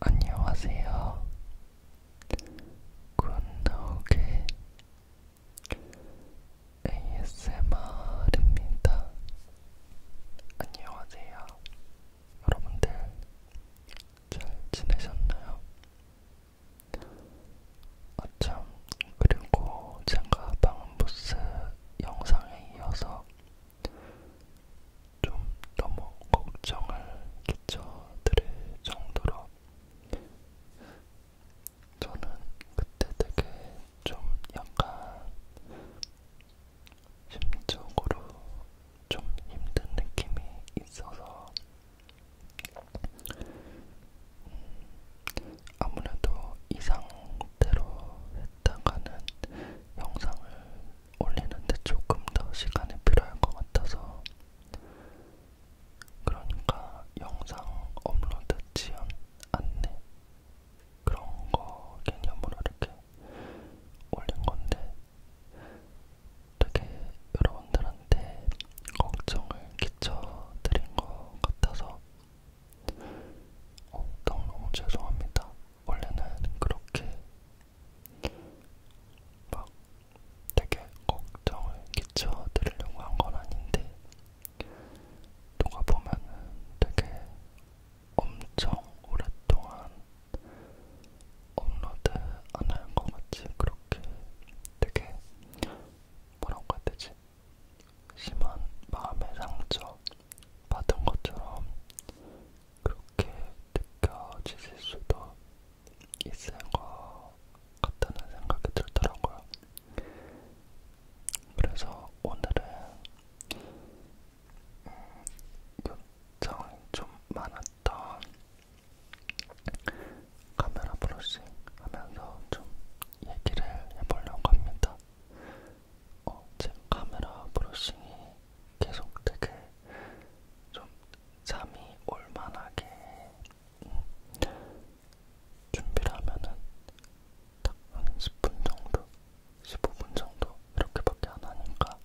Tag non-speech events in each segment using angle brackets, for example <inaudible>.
안녕하세요. 굿노게 ASMR입니다. 안녕하세요. 여러분들 잘 지내셨나요? 아참, 그리고 제가 방음부스 영상에 이어서 좀 너무 걱정을 끼쳐드릴 정도로 저는 그때 되게 좀 약간 심적으로 좀 힘든 느낌이 있어서 음, 아무래도 이 상태로 했다가는 영상을 올리는데 조금 더 시간이 필요할 것 같아서 그러니까 영상 업로드 지연 안내 그런 거 개념으로 이렇게 올린 건데 되게 여러분들한테 걱정을 끼쳐드린 것 같아서 어, 너무너무 죄송합니다. 원래는 그렇게 막 되게 걱정을 끼쳐드리려고 한 건 아닌데 누가 보면은 되게 엄청 오랫동안 업로드 안할것 같이 그렇게 되게 뭐라고 해야 되지? 심한 마음의 상처 받은 것처럼 그렇게 느껴지실 수도 있을 것 같다는 생각이 들더라고요. 그래서 오늘은 음, 요청이 좀 많았던 카메라 브러싱 하면서 좀 얘기를 해보려고 합니다. 어, 제 카메라 브러싱이 계속 되게 좀 잠이 올만하게 음, 준비를 하면은 딱 한 10분 정도, 15분 정도 이렇게밖에 안 하니까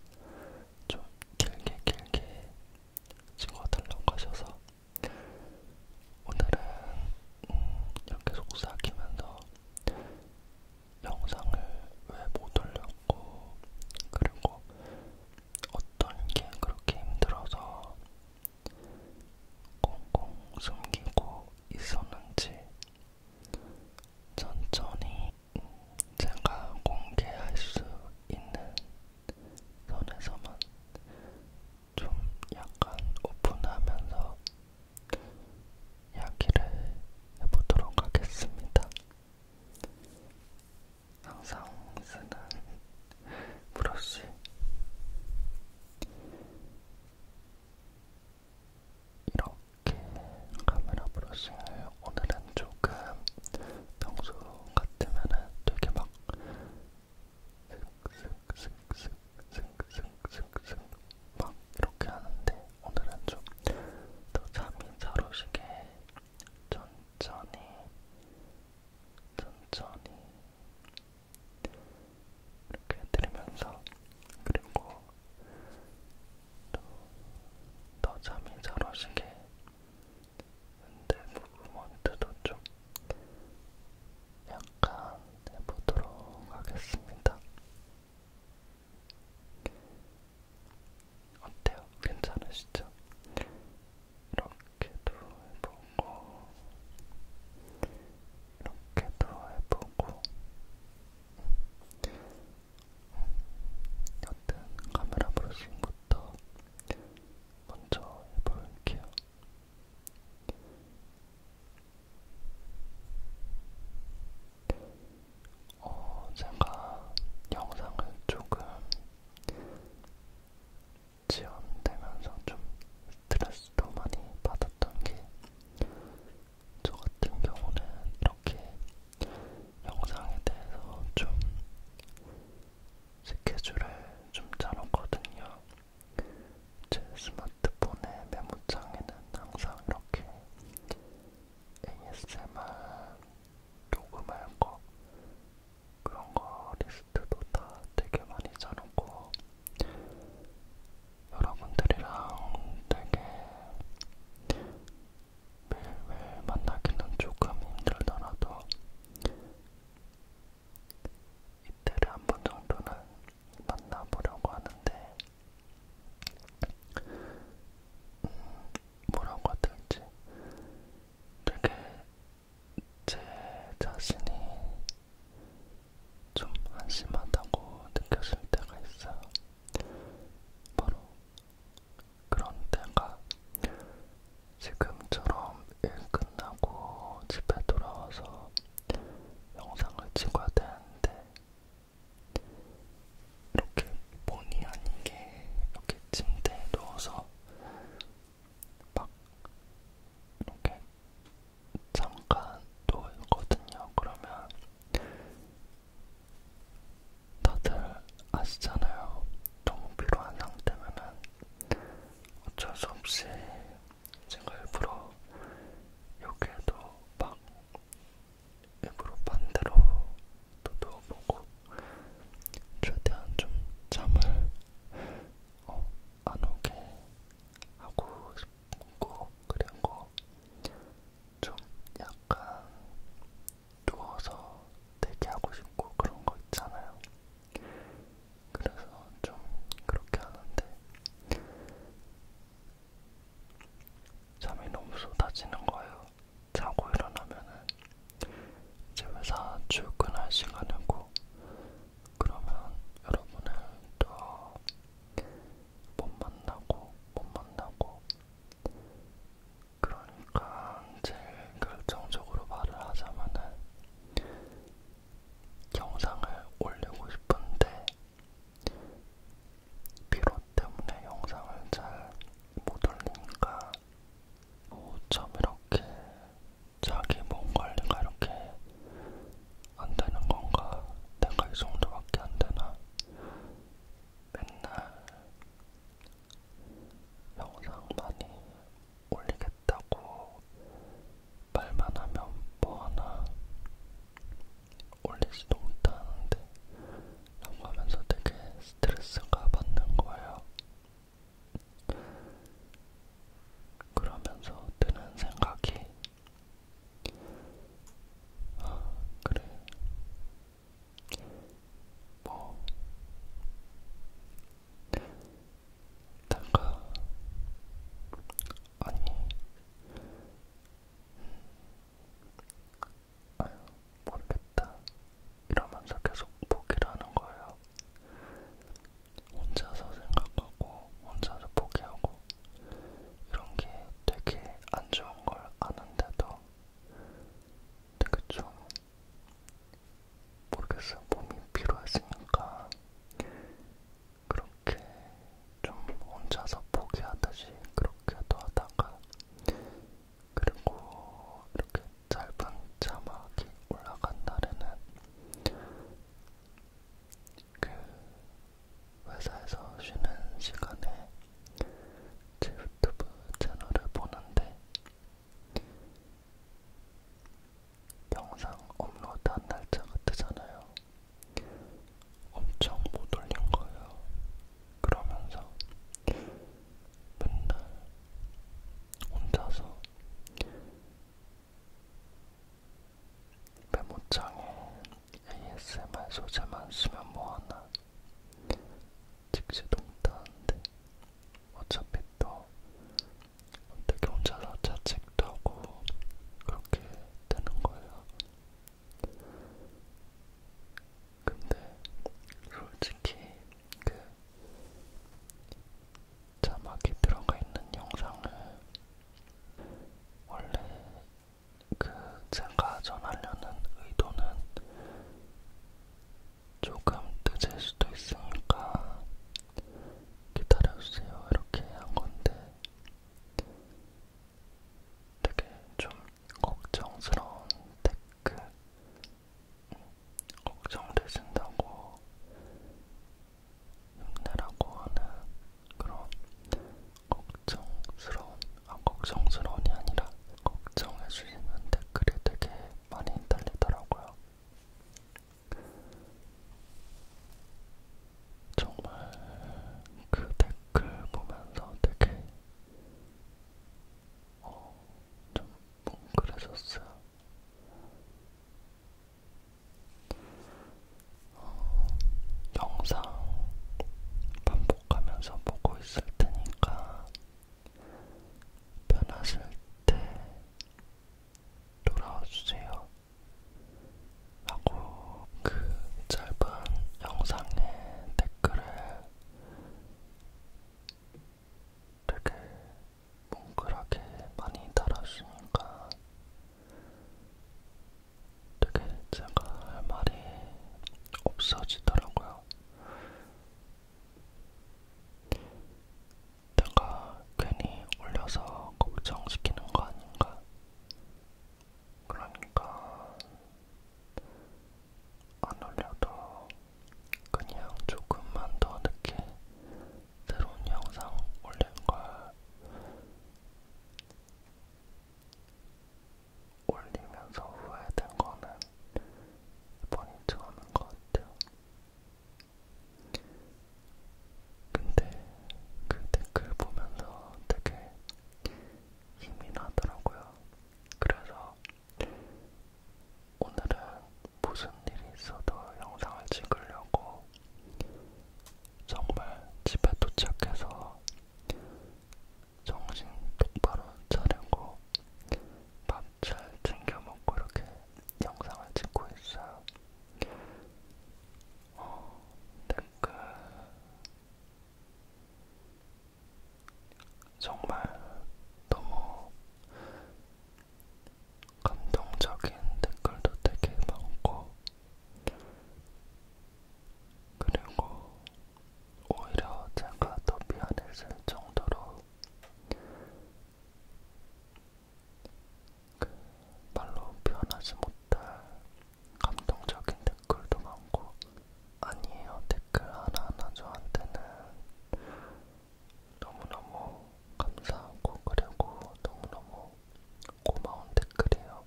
좀 길게 길게 찍어달라고 하셔서 오늘은 음, 이렇게 속삭이면서 영상을 왜 못 올렸고, 그리고 어떤 게 그렇게 힘들어서 꽁꽁 숨기고 있었는지 천천히 제가 공개할 수 있는 선에서만 좀 약간 오픈하면서 이야기를 해보도록 하겠습니다. 항상 쓰는 브러쉬 이렇게 카메라 브러싱을 오늘은 조금 평소 같으면은 되게 막 슥슥슥슥슥슥슥 막 이렇게 하는데 오늘은 좀 더 잠이 잘 오시게 천천히 천천히 이렇게 해드리면서 그리고 또 더 잠이 잘 오시게 근데 무브먼트도 좀 약간 해보도록 하겠습니다. 어때요? 괜찮으시죠? 이렇게도 해보고 이렇게도 해보고 여튼 카메라 브러싱부터 먼저 해볼게요. 이렇게 어, 제가 영상을 조금 지연되면서 좀 스트레스도 많이 받았던 게 저 같은 경우는 이렇게 영상에 대해서 좀 스케줄을 좀 짜놓거든요. 제 스마트폰의 메모장에는 항상 이렇게 ASMR 녹음할 거 그런 거 리스트도 다 되게 많이 짜놓고 여러분들이랑 되게 매일매일 만나기는 조금 힘들더라도 이틀에 한번 정도는 만나보려고 하는데 음, 뭐라고 해야 될지 되게 제 자신이 좀 한심하다고 느껴질 때가 있어요. 바로 그런 때가 지금처럼 일 끝나고 집에 돌아와서 영상을 찍어야 되는데 이렇게 본의 아니게 이렇게 침대에 누워서 막 이렇게 잠깐 누워있거든요. 그러면 다들 아시잖아요. 너무 필요한 상태면은 어쩔 수 없이 제가 일부러 여기에도 막 일부러 반대로도 누워보고 최대한 좀 잠을 어, 안 오게 하고 싶고 그리고 좀 약간 누워서 대기하고 싶고 그런 거 있잖아요. 그래서 좀 그렇게 하는데 잠이 너무 쏟아지는 거예요. 자고 일어나면은 이제 회사 출근할 시간이고 그러면 여러분은 또 못 만나고 못 만나고 그러니까 제일 결정적으로 말을 하자면은 영상을 올리고 싶은데 피로 때문에 영상을 잘 못 올리니까 어, 참 이렇게 자기 몸 관리가 이렇게 안 되는 건가? 내가 이 정도밖에 안 되나? 맨날 영상 많이 올리겠다고 말만 하면 뭐 하나 올리지도 못하는데 라고 하면서 되게 스트레스가 받는 거예요. 그러면서 드는 생각이 아 그래 뭐 내가 아니 아유 모르겠다 이러면서 계속 포기라는 거예요. 혼자서 생각하고 혼자서 포기하고 이런 게 되게 안 좋은 걸 아는데도 되게 좀 모르겠어요. 몸이 필요했으니까 그런 이렇게 좀 혼자서 포기하듯이 그렇게도 하다가 그리고 이렇게 짧은 자막이 올라간 날에는 그 회사에서 쉬는 시간에 제 유튜브 채널을 보는데 영상 업로드한 날짜가 뜨잖아요. 엄청 못 올린 거예요. 그러면서 맨날 혼자서 메모장에 ASMR 소재만 쓰면 뭐하나 직시도 못하는데 어차피 또 어떻게 혼자서 자책도 하고 그렇게 되는 거예요. 근데 솔직히 그 자막이 들어가 있는 영상을 원래 그 제가 전하려는 의도는 조금 늦을 수도 있으니까 기다려주세요 이렇게 한 건데 되게 좀 걱정스러운 댓글, 음, 걱정되신다고 힘내라고 하는 그런 걱정스러운, 아, 걱정스러운이 아니라 걱정해주시는 댓글이 되게 많이 달리더라고요. 정말 그 댓글 보면서 되게 어, 좀 뭉클해졌어요. 어, 영상 반복하면서 보고 있을 테니까 변하실 때 돌아와 주세요. 하고 그 짧은 영상의 댓글에 되게 뭉클하게 많이 달아주니까 되게 제가 할 말이 없어지더라고요. 내가 괜히 올려서 걱정시키는 거 아닌가 그러니까 안 올려도 그냥 조금만 더 늦게 새로운 영상 올린 걸 올리면서 후회된 거는 이번이 처음인 것 같아요. 근데 그 댓글 보면서 되게 힘이 나더라고요. 그래서 오늘은 무슨 일이 있어도 영상을 찍으려고 정말 집에 도착해서 정신 똑바로 차리고 밥 잘 챙겨 먹고 이렇게 영상을 찍고 있어요. 어, 댓글 정말 너무 감동적인 댓글도 되게 많고, 그리고 오히려 제가 더 미안했을 정도로 그 말로 표현하지 못할 감동적인 댓글도 많고 아니에요 댓글 하나하나 저한테는 너무너무 감사하고 그리고 너무너무 고마운 댓글이에요.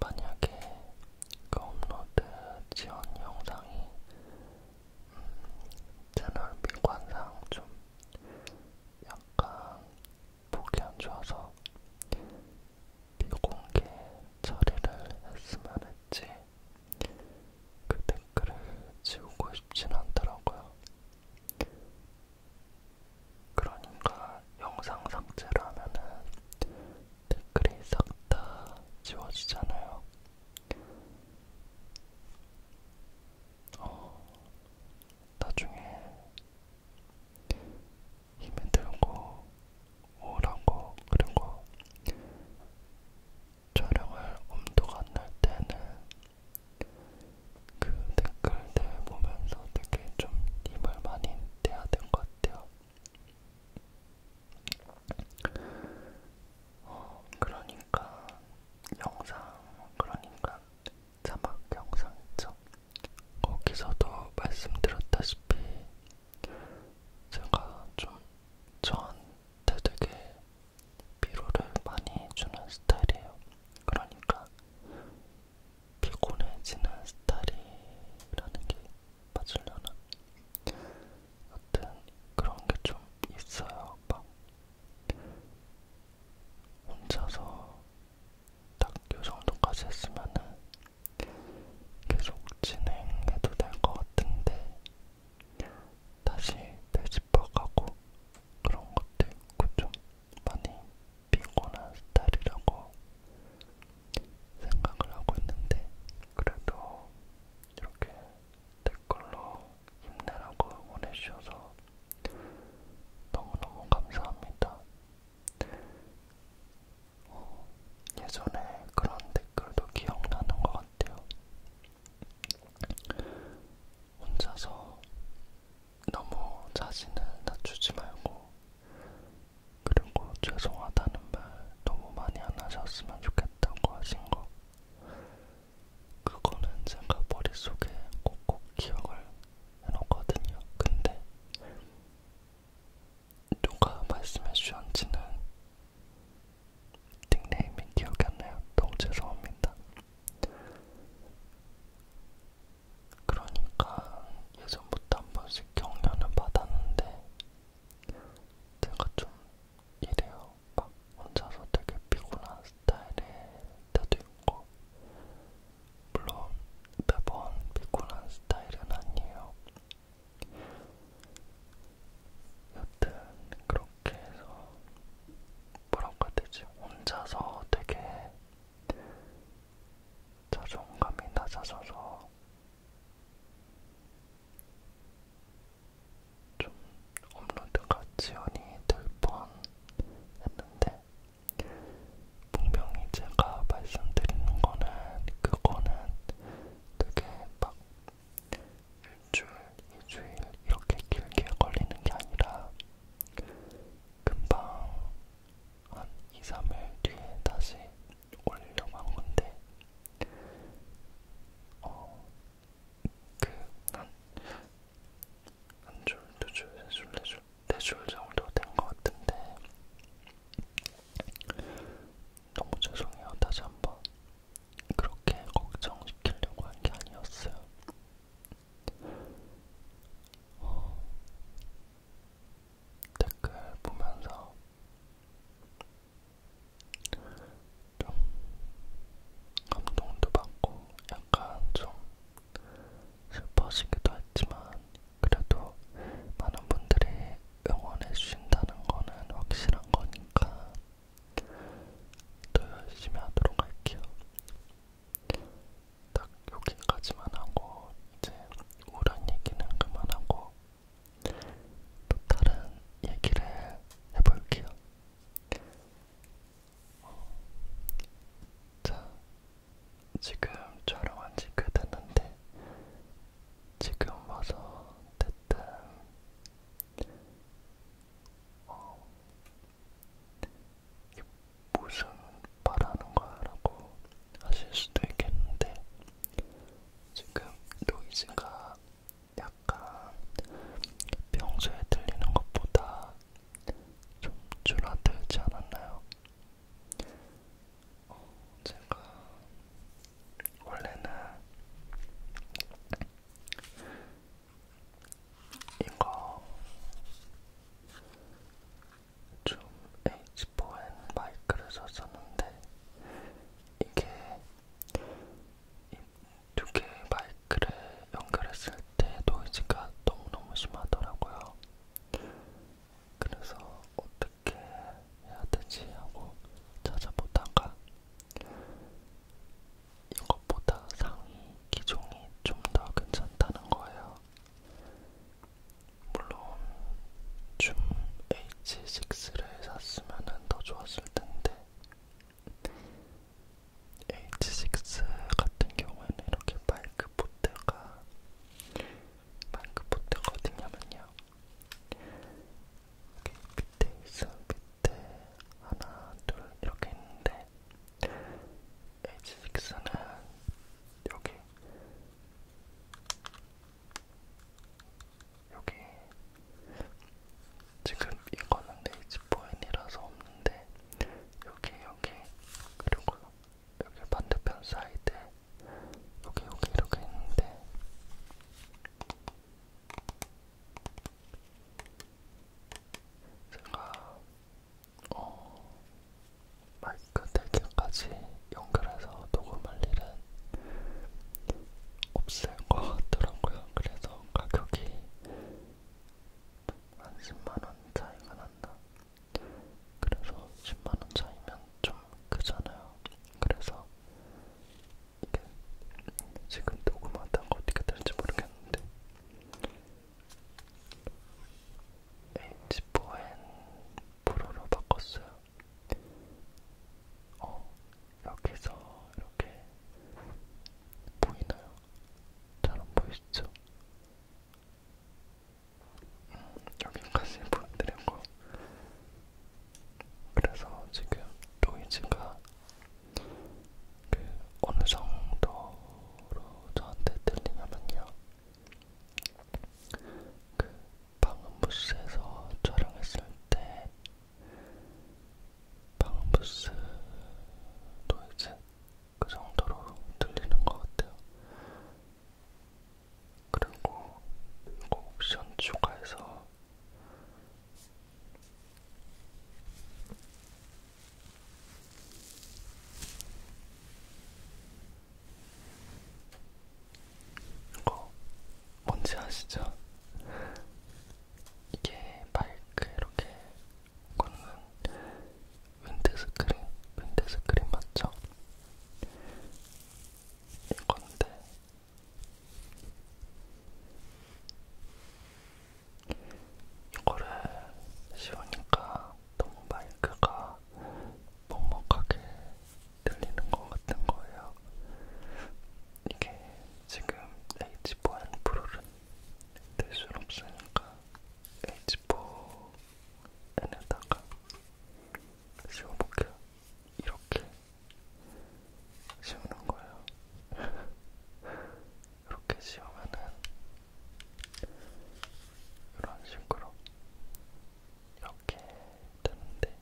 만약에 그 업로드 지원 영상이 음, 채널 미관상 좀 약간 목이 안 좋아서 비공개 처리를 했으면 했지 그 댓글을 지우고 싶진 않더라고요. 그러니까 영상 삭제를 하면은 댓글이 싹 다 지워지잖아요. 어, 나중에 힘이 들고 우울한 거 그리고 촬영을 엄두가 안날 때는 그 댓글들 보면서 되게 좀 힘을 많이 내야 될것 같아요. 어, 그러니까 영상, 그러니까 자막 영상 있죠? 거기서도 말씀드렸다시피 제가 좀 저한테 되게 피로를 많이 주는 스타일이에요. 그러니까 피곤해지는 스타일이라는 게 맞으려나? 여튼 그런 게 좀 있어요. 막 혼자서 딱요 정도까지 했으면은 계속 진행해도 될 것 같은데 다시 되짚어가고 그런 것도 있고 좀 많이 피곤한 스타일이라고 생각을 하고 있는데 그래도 이렇게 댓글로 힘내라고 응원해주셔서 너무너무 감사합니다. 어, 예전에 그런 댓글도 기억나는 것 같아요. 혼자서 너무 자신을 낮추지 말고, 그리고 죄송하다는 말 너무 많이 안 하셨으면 좋겠다고 하신 거. 그거는 제가 머릿속에 꼭꼭 기억을 해놓거든요. 근데 누가 말씀해 주셨는지는 닉네임이 기억이 안 나요. 너무 죄송합니다. 그러니까 예전부터 한 번씩 격려는 받았는데 제가 좀 이래요. 막 혼자서 되게 피곤한 스타일일 때도 있고 물론 매번 피곤한 스타일은 아니에요. 여튼 그렇게 해서 뭐라고 해야 되지? 혼자서 되게 자존감이 낮아져서 좀 업로드가 지연이 될 뻔 했는데 분명히 제가 말씀드리는 거는 그거는 되게 막 일주일, 이주일 이렇게 길게 걸리는 게 아니라 금방 한 2, 3일 뒤에 다시 올리려고 한 건데 어, 그한 한 줄, 두 줄, 세 줄, 네 줄, 네 줄 정도 된 것 같은데 너무 죄송해요. 다시 한번 그렇게 걱정시키려고 한 게 아니었어요. 어, 댓글 보면서 좀 감동도 받고 약간 좀 슬퍼하시기도 했지만 그래도 많은 분들이 응원해 주신다는 거는 확실한 거니까 더 열심히 하도록 할게요. 딱 여기까지만 하고 이제 우울한 얘기는 그만하고 또 다른 얘기를 해볼게요. 자, 지금 촬영한 지꽤 됐는데, 지금 와서 대뜸, 어, 이게 무슨 말하는 거야? 라고 하실 수도 있겠는데, 지금 노이즈가 약간 평소에 들리는 것보다 좀 줄어들지 않았나요? 어, 제가 원래는 이거 좀 H4N 마이크를 썼었는데 이게 두개 마이크를 연결했을 때 노이즈가 너무너무 심하더라고요. 그래서 어떻게 해야 되지 하고 찾아보다가 이것보다 상위 기종이 좀 더 괜찮다는 거예요. 물론 줌 H6를 샀으면 더 좋았을 텐데 H6 같은 경우에는 이렇게 마이크 포트가 마이크 포트가 어디냐면요 여기 밑에 있어 밑에 하나 둘 이렇게 있는데 H6는 여기 여기 지금 이거는 H4N이라서 없는데 여기 여기 그리고 여기 반대편 사이드 여기 여기 이렇게 있는데 제가 어 마이크 대개까지 연결해서 녹음할 일은 없을 것 같더라고요. 그래서 가격이 한 10만원 차이가 난다. 그래서 10만원 차이면 좀 크잖아요. 그래서 이게 지금 녹음하다가 어떻게 될지 모르겠는데 H4N 프로로 바꿨어요. 어, 여기서 이렇게 보이나요? 잘 안 보이시죠? 여기까지 보여드리고 그래서 지금 로이즈가 그 어느 정도로 저한테 들리냐면요. 그 방음부스에서 촬영했을 때 방음부스 노이즈 그 정도로 들리는 것 같아요. 그리고 이거 옵션 추가해서 이거 뭔지 아시죠? 이게 마이크 이렇게 꽂는 윈드스크린, 윈드스크린 맞죠? 이건데 이거를 씌우니까 너무 마이크가 먹먹하게 들리는 것 같은 거예요. 이게 지금 H4N 프로를 될순 없으니까 H4N에다가 씌워볼게요. 이렇게 씌우는 거예요. <laughs> 이렇게 씌우면은 이런 식으로 이렇게 되는데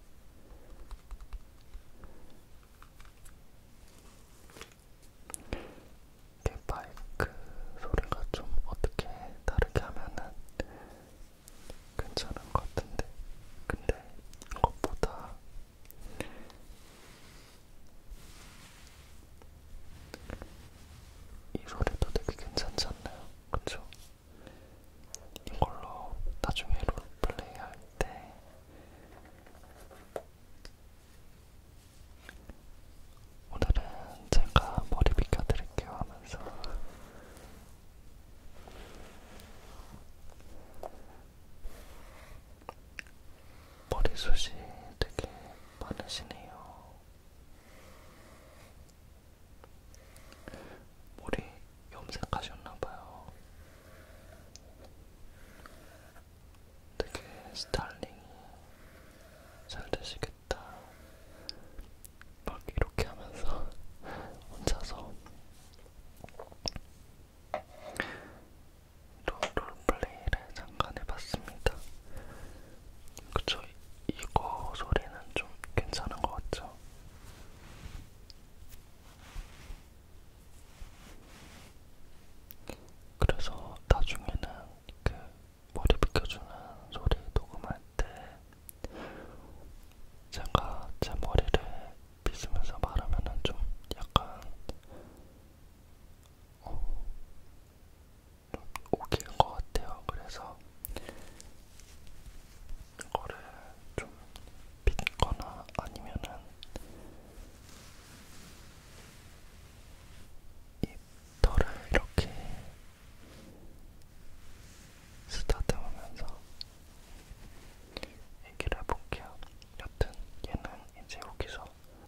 이게 마이크 소리가 좀 어떻게 다르게 하면은 괜찮은 것 같은데 근데 이것보다 이 소리도 되게 괜찮지 않나요? 그쵸? 이걸로 나중에 롤플레이 할때 오늘은 제가 머리 비켜드릴게요 하면서 머리숱이 되게 많으시네요. 머리 염색하셨나봐요. 되게 스타일링이 잘 되시겠다. 막 이렇게 하면서 <laughs> 혼자서 롤, 롤플레이를 잠깐 해봤습니다. 그쵸? 이거 소리는 좀 괜찮은 것 같죠? 그래서 나중에는 그 머리 빗겨주는 소리 녹음할 때 제가 제 머리를 빗으면서 말하면은 좀 약간 어, 좀 웃기는 것 같아요. 그래서 이거를 좀 빗거나 아니면은 이 털을 이렇게 쓰다듬으면서 얘기를 해볼게요. 여튼 얘는 이제 여기서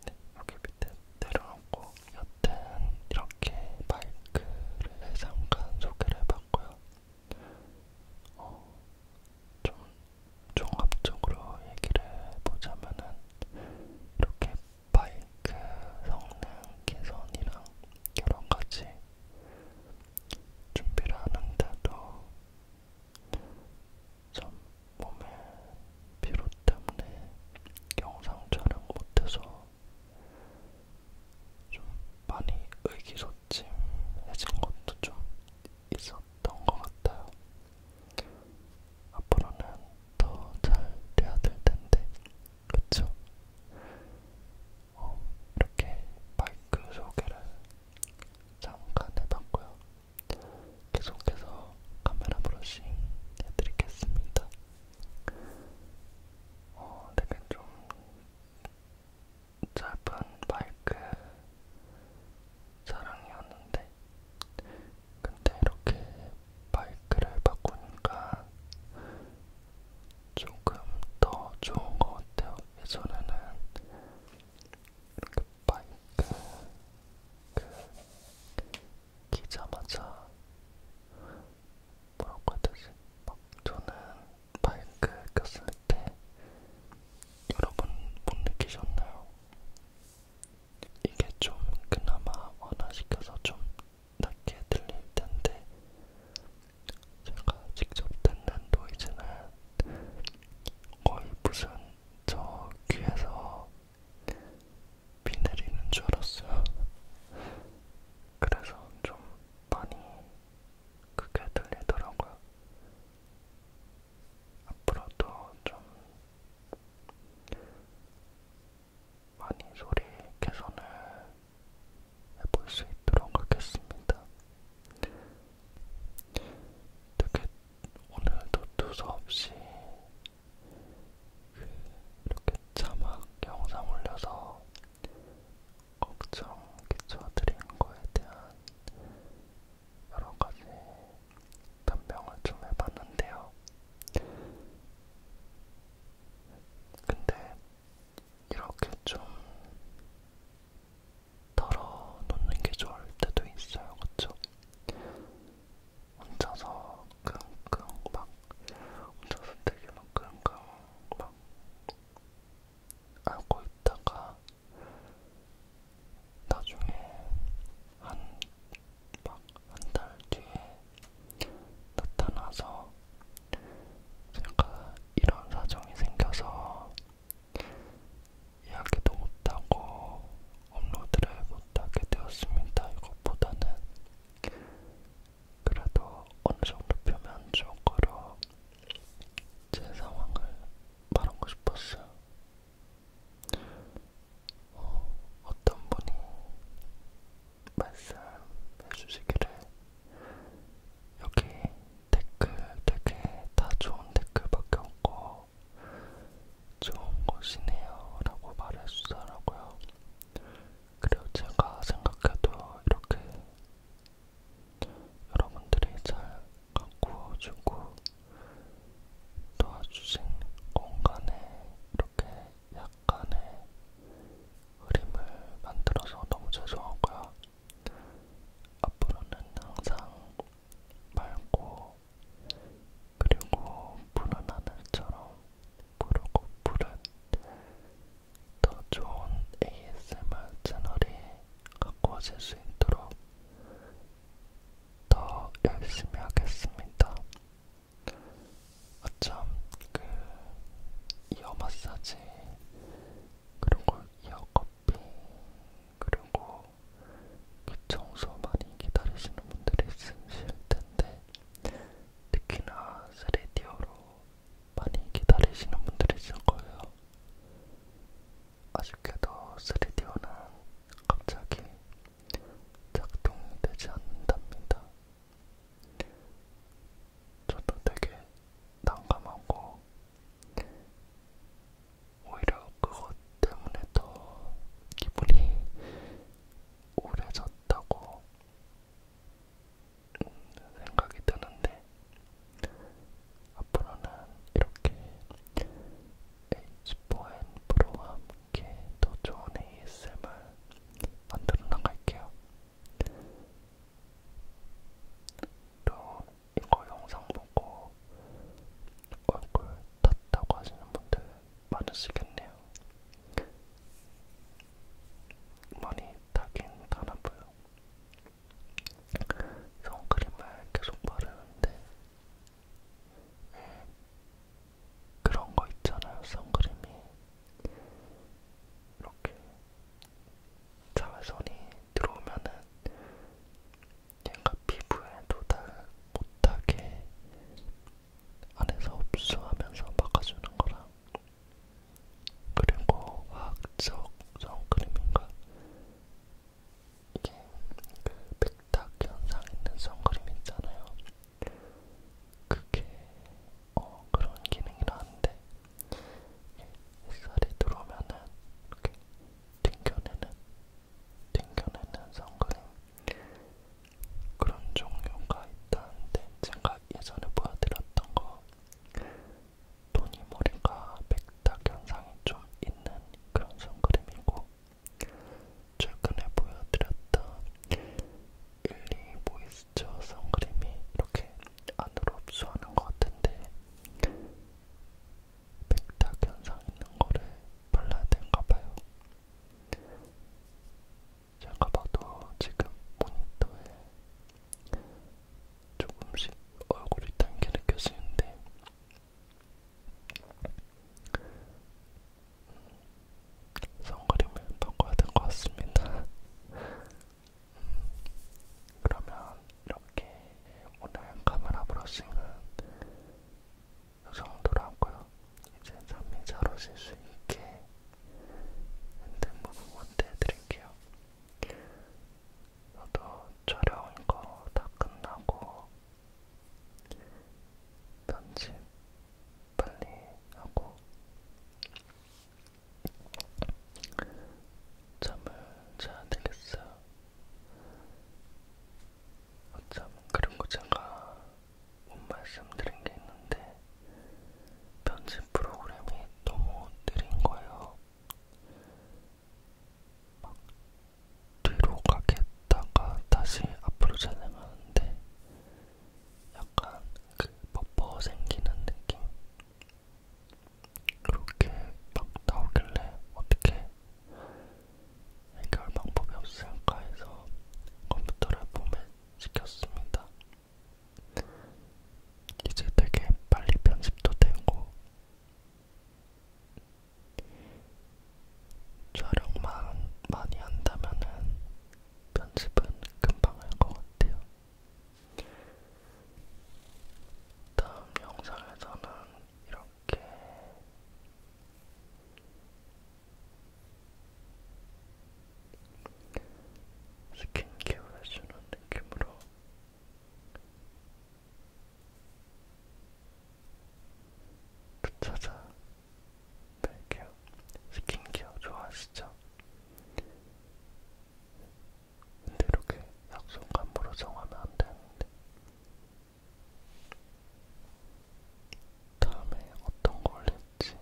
네, 여기 밑에 내려놓고 여튼 이렇게 마이크를 잠깐 소개를 해봤고요. 어, 좀 종합적으로 얘기를 해보자면은 이렇게 마이크 성능 개선이랑 여러 가지 준비를 하는데도 참 몸에 피로 때문에 영상 촬영 못해서 좀 많이 의기소침해진 것도 좀 있었던 것 같아요. 앞으로는 더 잘 돼야 될 텐데, 그쵸? 어, 이렇게 마이크 소개를 잠깐 해봤고요. 계속해서 카메라 브러싱 해드리겠습니다. 어, 되게 좀 짧은 마이크 사랑이었는데 근데 이렇게 마이크를 바꾸니까 조금 더 좋은 것 같아요. 예전에는 이렇게 그 마이크 그 키자마자 뭐라고 해야 되지? 막 저는 마이크 꼈을 때 여러분 못 느끼셨나요? 이게 좀 그나마 완화시켜서 좀 낮게 들릴 텐데 제가 직접 듣는 노이즈는 거의 무슨 저 귀에서 비 내리는 줄 알았어요. 그래서 좀 많이 크게 들리더라고요. 앞으로도 좀 많이 소리 개선을 해볼 수 있도록 하겠습니다. 되게 오늘도 두서없이 그 이렇게 자막 영상 올려서 걱정 끼쳐드린 거에 대한 여러 가지 변명을 좀 해봤는데요. 근데 이렇게 좀 털어놓는 게 좋을 때도 있어요, 그쵸? 혼자서 끙끙 막 혼자서 되게 막 끙끙 막 알고 있다가 나중에 한막한 달 뒤에 나타나서 제가 이런 사정이 생겨서 이야기도 못하고 업로드를 못하게 되었습니다. 이것보다는 그래도 어느 정도 표면적으로 제 상황을 말하고 싶었어요. 어, 어떤 분이 말씀해주시기를 여기 댓글 되게 다 좋은 댓글밖에 없고 좋은 곳이네요 라고 말해주더라고요. 그리고 제가 생각해도 이렇게 여러분들이 잘 갖고 주고 도와주신 공간에 이렇게 약간의 흐림을 만들어서 너무 죄송하고요. 앞으로는 항상 맑고 그리고 푸른 하늘처럼 푸르고 푸른 더 좋은 ASMR 채널이 가꿔질 수 있도록 더 열심히 하겠습니다. 어쩜 그 이어 마사지 그리고 이어 커피 그리고 그 청소 많이 기다리시는 분들이 있으실 텐데 특히나 스레디오로 많이 기다리시는 분들이 있을 거예요. 아쉽게도 스레디오는 갑자기 작동되지 않는답니다. 저도 되게 난감하고 오히려 그것 때문에 더 기분이 우울해졌다고 생각이 드는데 앞으로는 이렇게 H4N 프로와 함께 더 좋은 ASMR 만들어 나갈게요. 또 이거 영상 보고 얼굴 탔다고 하시는 분들 많으시겠네요. 많이 타긴 타나봐요. 선크림을 계속 바르는데 그런 거 있잖아요. 선크림이 이렇게 자외선이 들어오면은 얘가 피부에 도달 못하게 안에서 흡수하면서 막아주는 거랑 그리고 화학적 선크림인가 이게 백탁 현상 있는 선크림 있잖아요. 그게 어 그런 기능이라는데 햇살이 들어오면은 이렇게 튕겨내는 튕겨내는 선크림 그런 종류가 있다는데 제가 예전에 보여드렸던 거 토니 모리가 백탁 현상이 좀 있는 그런 선크림이고 최근에 보여드렸던 일리 모이스처 선크림이 이렇게 안으로 흡수하는 것 같은데 백탁 현상 있는 거를 발라야 되는가 봐요. 제가 봐도 지금 모니터에 조금씩 얼굴이 당겨 느껴지는데 선크림을 바꿔야 될 것 같습니다. 그러면 이렇게 오늘 카메라 브러싱은 이 정도로 하고요. 이제 잠이 잘 오실 수 있게 핸드 무브먼트 해드릴게요. 저도 촬영 이거 다 끝나고 편집 빨리 하고 잠을 자야 되겠어요. 어참 그리고 제가 못 말씀드린 게 있는데 편집 프로그램이 너무 느린 거예요. 막 뒤로 가겠다가 다시 앞으로 진행하는데 약간 그 버퍼 생기는 느낌? 그렇게 막 나오길래 어떻게 해결 방법이 없을까 해서 컴퓨터를 봄에 시켰습니다. 이제 되게 빨리 편집도 되고 촬영만 많이 한다면은 편집은 금방 할 것 같아요. 다음 영상에서는 이렇게 스킨케어 해주는 느낌으로 붙여자 그 뺄게요. 스킨케어 좋아하시죠? 근데 이렇게 약속감으로 정하면 안 되는데. 다음에 어떤 거 올릴지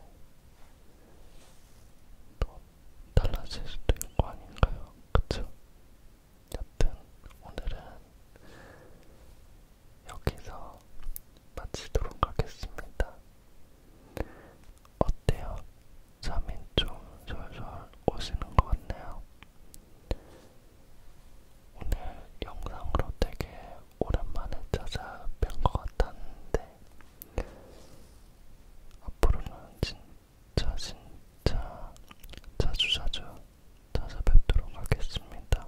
또 달라질 수도 있는 거 아닌가요? 그쵸? 여튼 오늘은 여기서 마치도록 하겠습니다. 어때요? 잠이 좀 솔솔 오시는 것 같네요. 오늘 영상으로 되게 오랜만에 찾아뵌 것 같았는데 앞으로는 진짜 진짜 자주자주 찾아뵙도록 하겠습니다.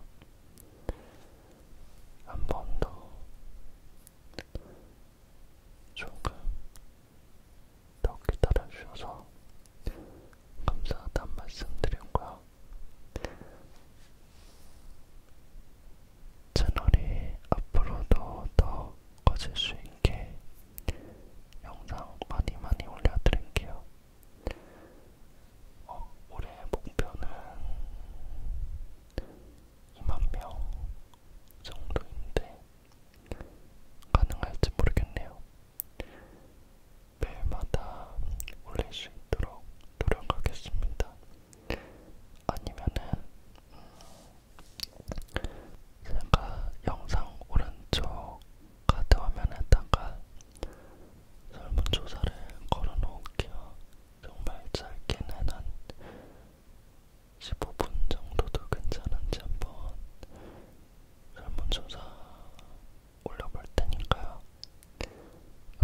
한번 더 조금 더 기다려주셔서 감사하다는 말씀 드렸고요. 채널이 앞으로도 더 커질 수 있게 영상 많이 많이 올려드릴게요. 어, 올해 목표는 2만명 정도인데 가능할지 모르겠네요. 매일마다 올릴 수 있도록 노력하겠습니다. 아니면은 음, 제가 영상 오른쪽 카드 화면에다가 설문조사를 걸어놓을게요. 정말 짧게는 한 15분 정도도 괜찮은지 한번 설문조사 올려볼 테니까요.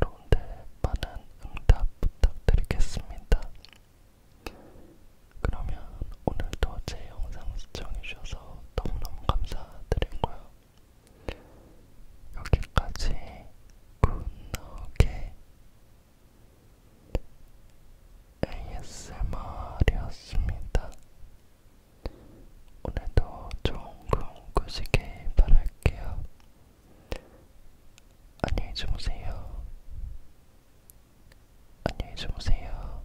여러분들 많은 응답 부탁드리겠습니다. 그러면 오늘도 제 영상 시청해주셔서 너무너무 감사드리고요. 여기까지 굿노게 ASMR이었습니다. 오늘도 좋은 꿈 꾸시길 바랄게요. 안녕히 주무세요. 안녕히 주무세요.